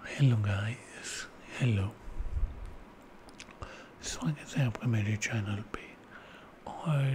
Hello guys, hello. स्वागत है आपका मेरे चैनल पे और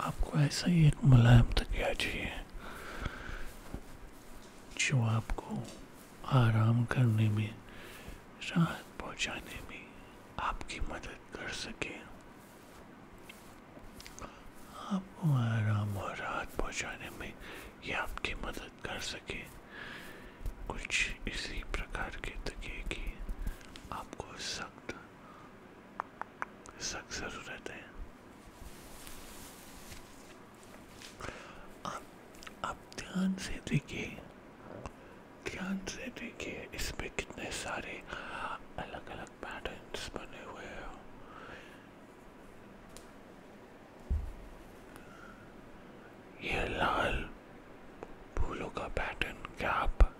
आपको ऐसा ही एक मुलायम तक तकिया चाहिए जो आपको आराम करने में राहत पहुंचाने में आपकी मदद कर सके आपको आराम और राहत पहुंचाने में ये आपकी मदद कर सके कुछ इसी प्रकार के तकिए आपको सख्त शख्स रहते हैं आप, आप ध्यान से देखिए ध्यान से देखिए इसमें कितने सारे अलग अलग पैटर्न्स बने हुए हैं ये लाल फूलों का पैटर्न क्या आप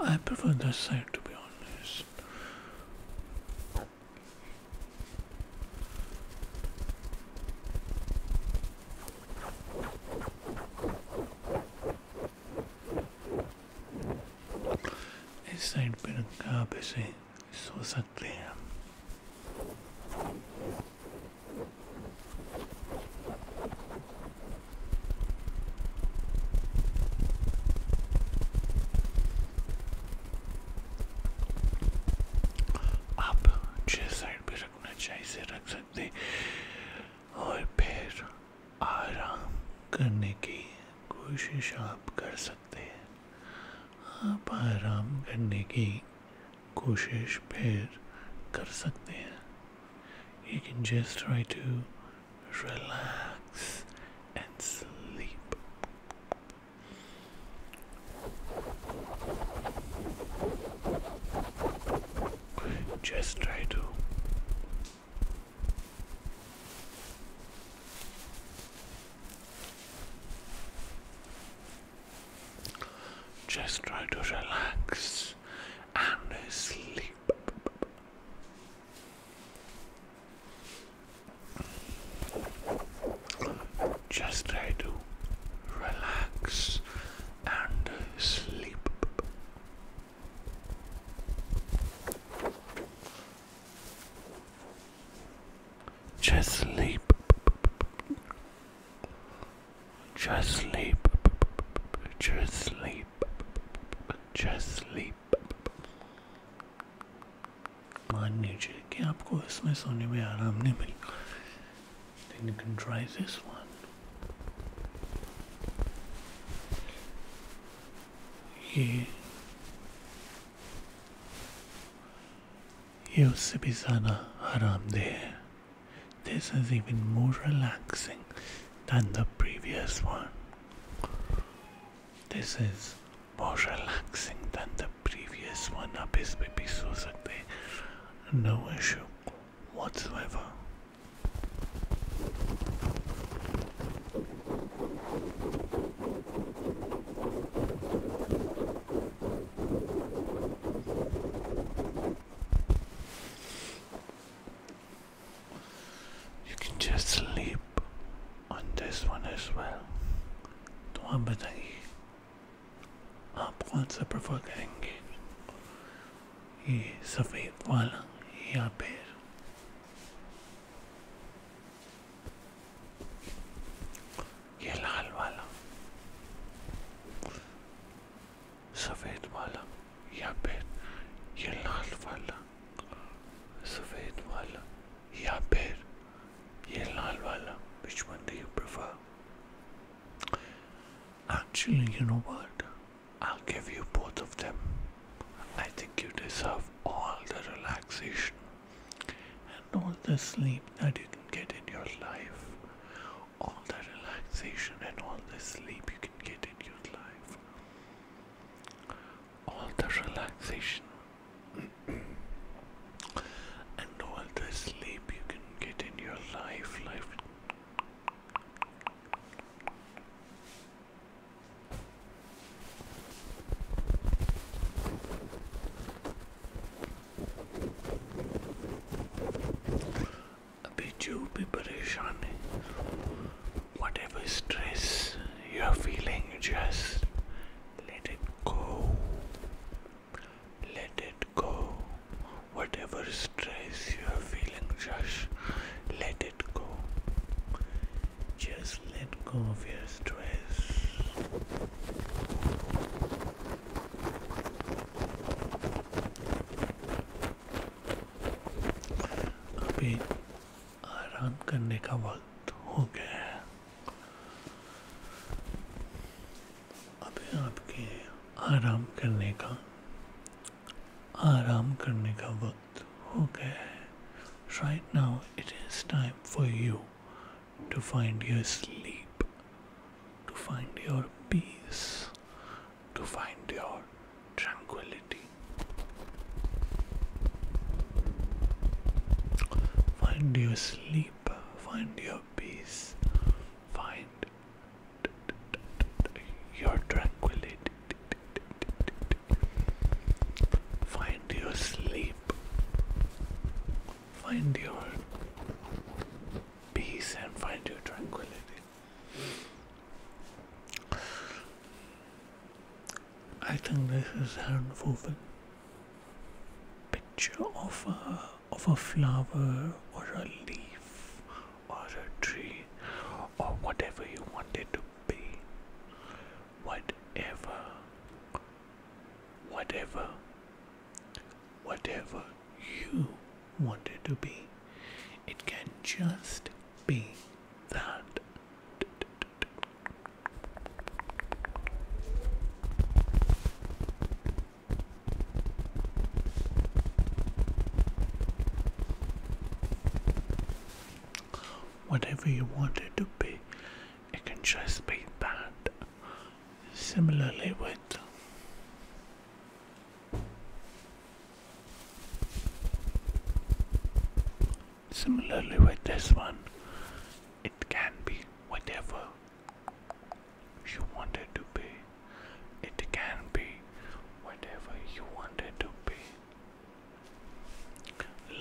I prefer this side to be honest. This side being garbage, so sadly. आप छः साइड भी रखना चाहिए से रख सकते और फिर आराम करने की कोशिश आप कर सकते हैं आप आराम करने की कोशिश फिर कर सकते हैं you can just try to relax and sleep. Just try to. Just try to relax and sleep. Just try to relax and sleep. Just sleep. Just sleep. Just sleep. Just sleep. मान लीजिए कि आपको इसमें सोने में आराम नहीं मिला then you can try this one ये ये उससे भी ज़्यादा this is even more relaxing than the previous one. This is more relaxing than the previous one. आप इस पे भी No issue whatsoever. You can just sleep on this one as well. तो आप बताइए आप कौन सा प्रेफर करेंगे ये सफ़ेद वाला या फिर ये लाल वाला सफ़ेद वाला या फिर ये लाल वाला सफ़ेद वाला या फिर ये लाल वाला which one do you prefer actually you know what I'll give you both of them I think you deserve all the relaxation and all the sleep that you can get in your life all the relaxation and all the sleep you can get in your life. All the relaxation and all the sleep you can get in your life, life. Be Biju preparation. Whatever stress you're feeling, just let it go. Let it go. Whatever stress you're feeling, just let it go. Just let go of your stress. अभी आराम करने का वक्त हो गया है अभी आपके आराम करने का आराम करने का वक्त हो गया है Right now, it is time for you to find your sleep, to find your peace, to find your tranquility. Find your sleep, find your peace, find your tranquility. Find your sleep, find your peace and find your tranquility. I think this is an woven picture of a of a flower or a leaf or a tree or whatever you want it to be. Whatever whatever whatever you want it to be. It can just be that. Whatever you want it to be, it can just be that. Similarly, with Similarly with this one, it can be whatever you wanted to be. It can be whatever you want to be.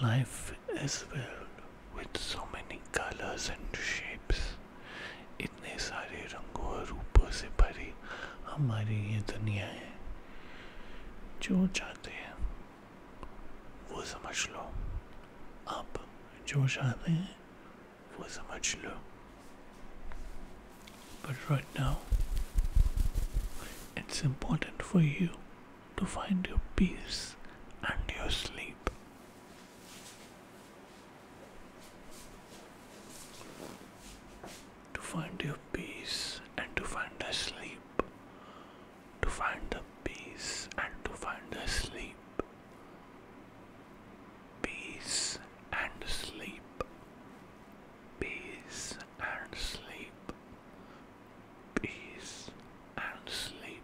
Life is filled with so many colors and shapes. इतने सारे रंगों और रूपों से भरी हमारी ये दुनिया है जो चाहते हैं वो समझ लो आप जो चाहते हैं वो समझ लो But right now, it's important for you to find your peace and your sleep. to find your peace and to find the sleep, to find the peace and to find the sleep, peace and sleep, peace and sleep, peace and sleep,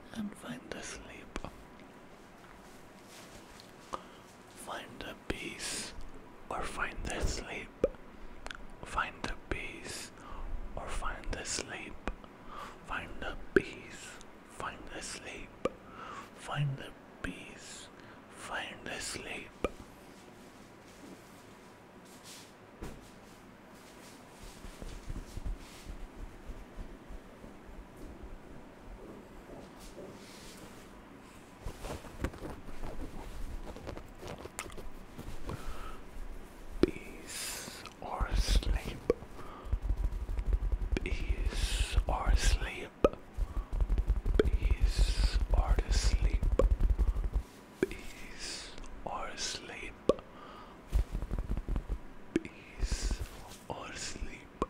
and find the sleep. Find the peace or find the sleep. Find the peace or find the sleep. Find the peace, find the sleep. Find the peace, find the sleep. Peace or sleep. Peace or sleep. Peace or sleep. Peace or sleep. Peace or sleep.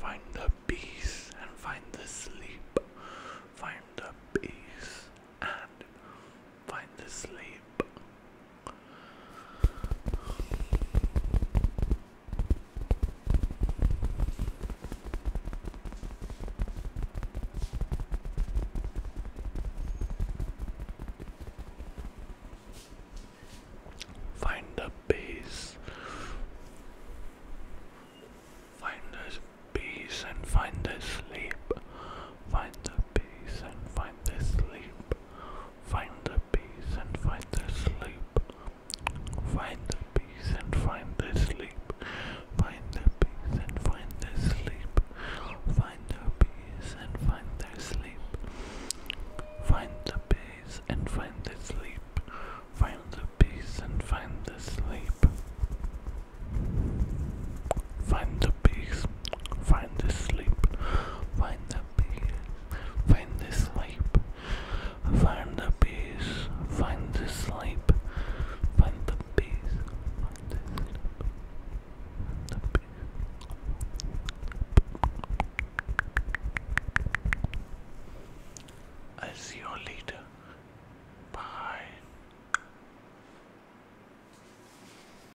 Find the peace and find the sleep. Find the peace and find the sleep. Find the base. Find the peace and find the sleep. Find the peace and find the sleep. Find the peace and find the sleep. Find the peace and find the sleep. Find the peace and find the sleep. Find the peace and find the sleep. Find the peace and find the sleep. Find the peace and find the sleep. Find the peace Find this sleep. Find the peace. Find this sleep. Find the peace. Find this sleep. Find the peace. Find the sleep. peace. I'll see you later. Bye.